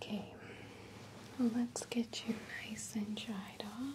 Okay, let's get you nice and dried off.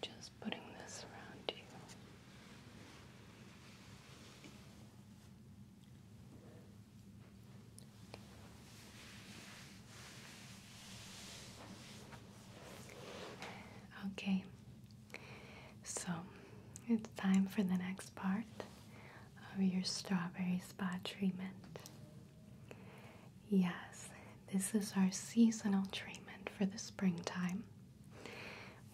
Just putting this around you. Okay, so it's time for the next part of your strawberry spa treatment. Yes, this is our seasonal treatment for the springtime.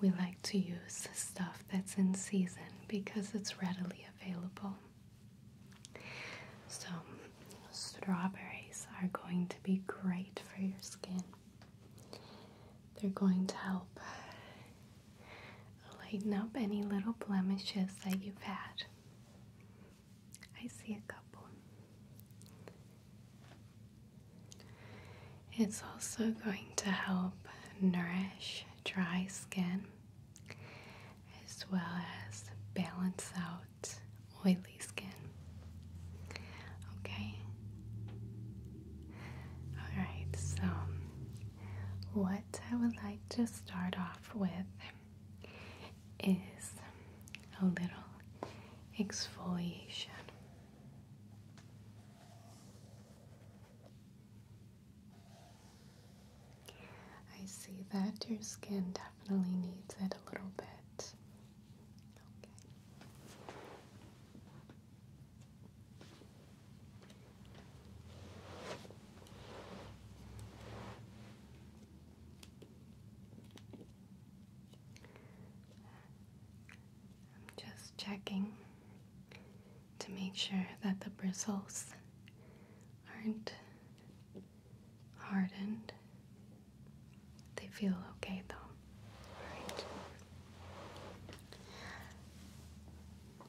We like to use stuff that's in season because it's readily available. So, strawberries are going to be great for your skin. They're going to help lighten up any little blemishes that you've had. I see a couple. It's also going to help nourish dry skin as well as balance out oily skin. Okay? Alright, so what I would like to start off with is a little exfoliation. I see that your skin definitely needs it a little bit. I'm just checking to make sure that the bristles aren't hardened. They feel okay though. All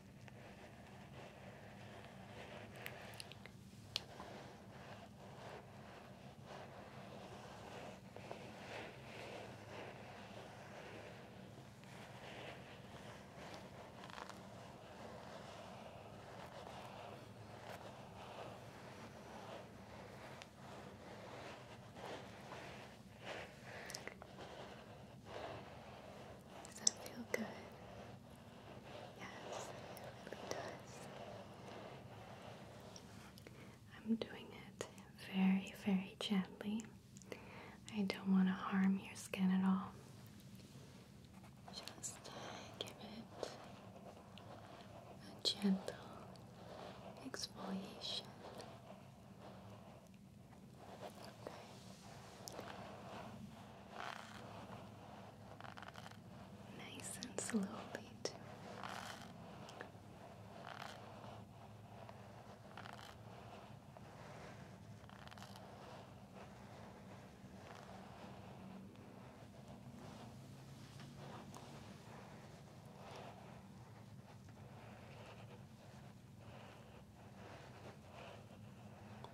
Does that feel good? Yes, it really does. I'm doing it very, very gently. I don't want to harm your skin at all. Just give it a gentle exfoliation. Okay nice and slowly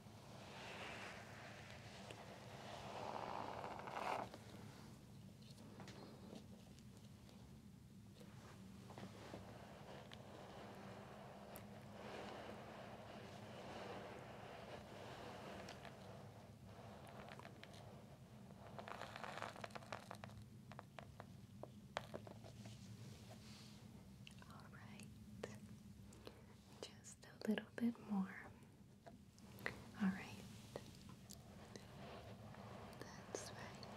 All right, just a little bit more. All right. That's right.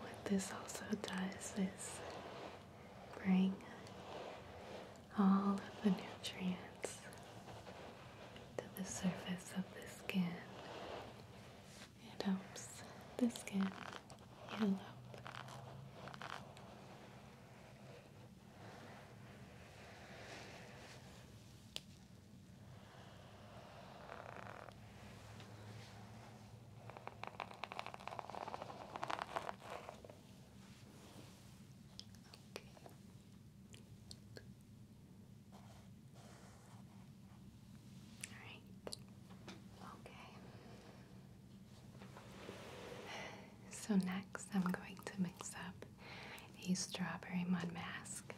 What this also does is bring all of the nutrients to the surface of the skin it helps the skin heal up. Okay. Alright. Okay. So, next, I'm going to mix up a strawberry mud mask.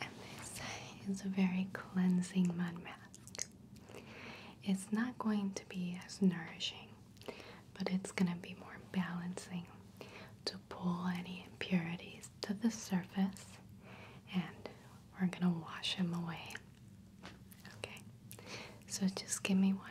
And this is a very cleansing mud mask. It's not going to be as nourishing, but it's going to be more balancing to pull any impurities to the surface and we're gonna wash him away. Okay, so just give me one moment.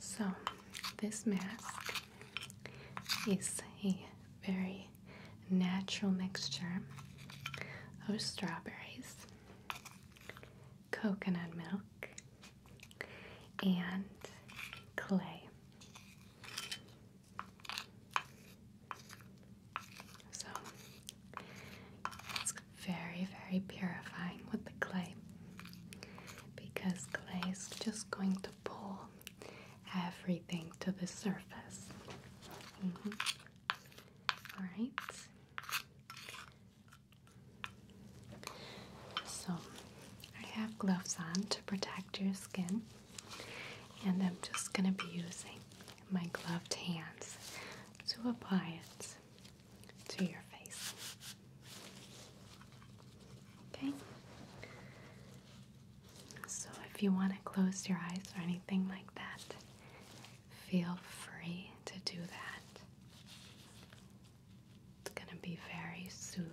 So, this mask is a very natural mixture of strawberries, coconut milk, and clay. So it's very, very purifying with the clay because clay is just going to pull everything to the surface. Mm-hmm. All right. So I have gloves on to protect your skin, and I'm just going to be using my gloved hands to apply it to your face. Okay, so, if you want to close your eyes or anything like that, feel free to do that. It's going to be very soothing.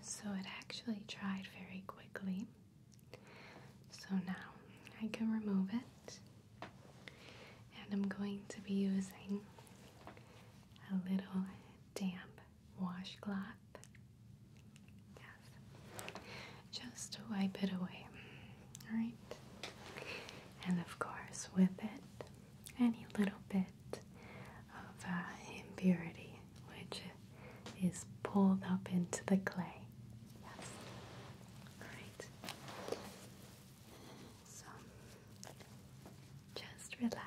so it actually dried very quickly. So now I can remove it, and I'm going to be using a little damp washcloth. just to wipe it away. Alright, and of course, with it, any little bit of uh, impurity which is pulled up into the clay. Yes. Alright. So just relax.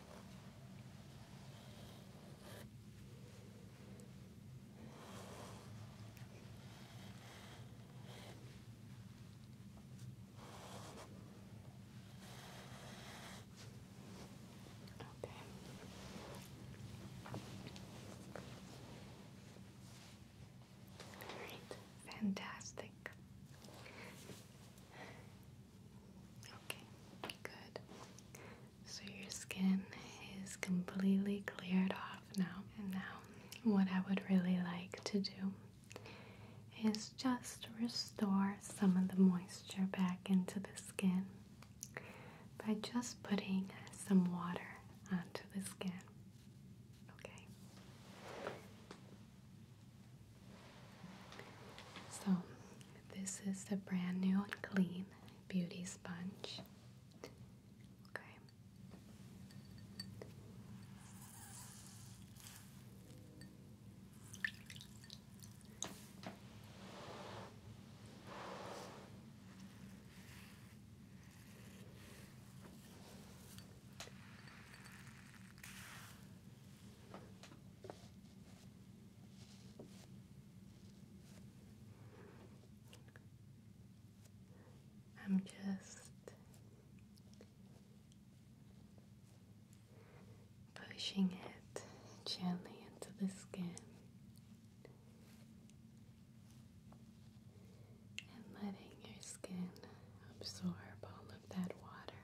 Okay. Great, fantastic. Okay, good. So your skin is completely cleared off now. And now, what I would really like to do is just restore some of the moisture back into the skin by just putting some water onto the skin. Okay. So this is the brand new and clean beauty sponge. Okay. I'm just pushing it gently into the skin and letting your skin absorb all of that water.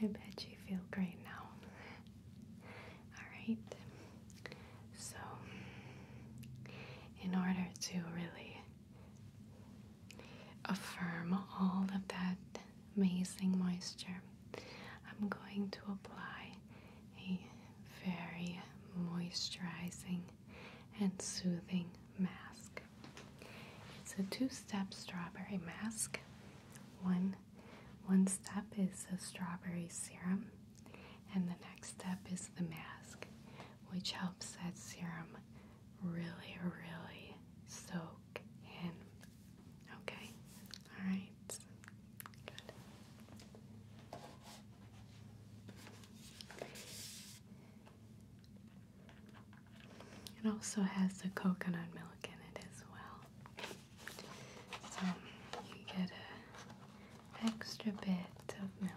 I bet you feel great now. Alright, so in order to really affirm all of that amazing moisture, I'm going to apply a very moisturizing and soothing mask. It's a two step strawberry mask. One one step is the strawberry serum, and the next step is the mask, which helps that serum really, really soak in. Okay, all right, good. It also has the coconut milk in it as well. So um, you get an extra bit of milk.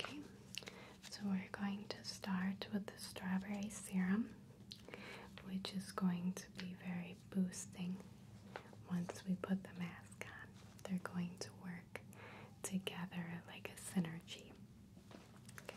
Okay, so we're going to start with the strawberry serum, which is going to be very boosting once we put the mask on. They're going to work together like a synergy. Okay.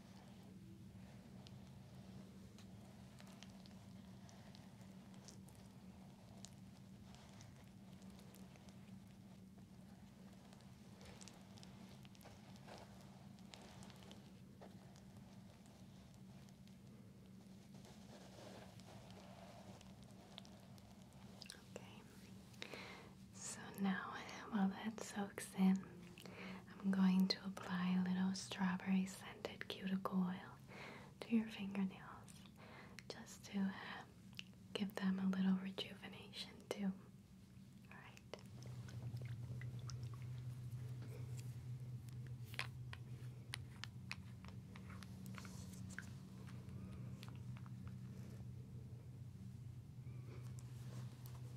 Okay, so now while that soaks in, I'm going to apply a little strawberry scented cuticle oil to your fingernails just to uh, give them a little rejuvenation too. Alright.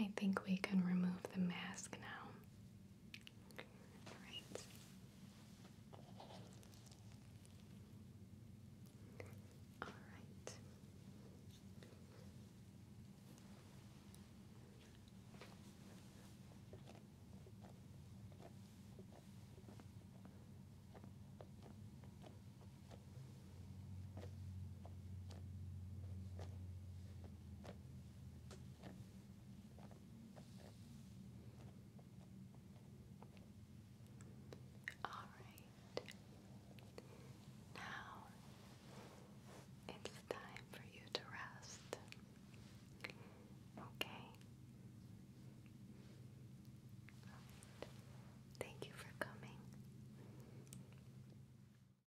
I think we can remove the mask now. All right. Now it's time for you to rest. Okay. Thank you for coming.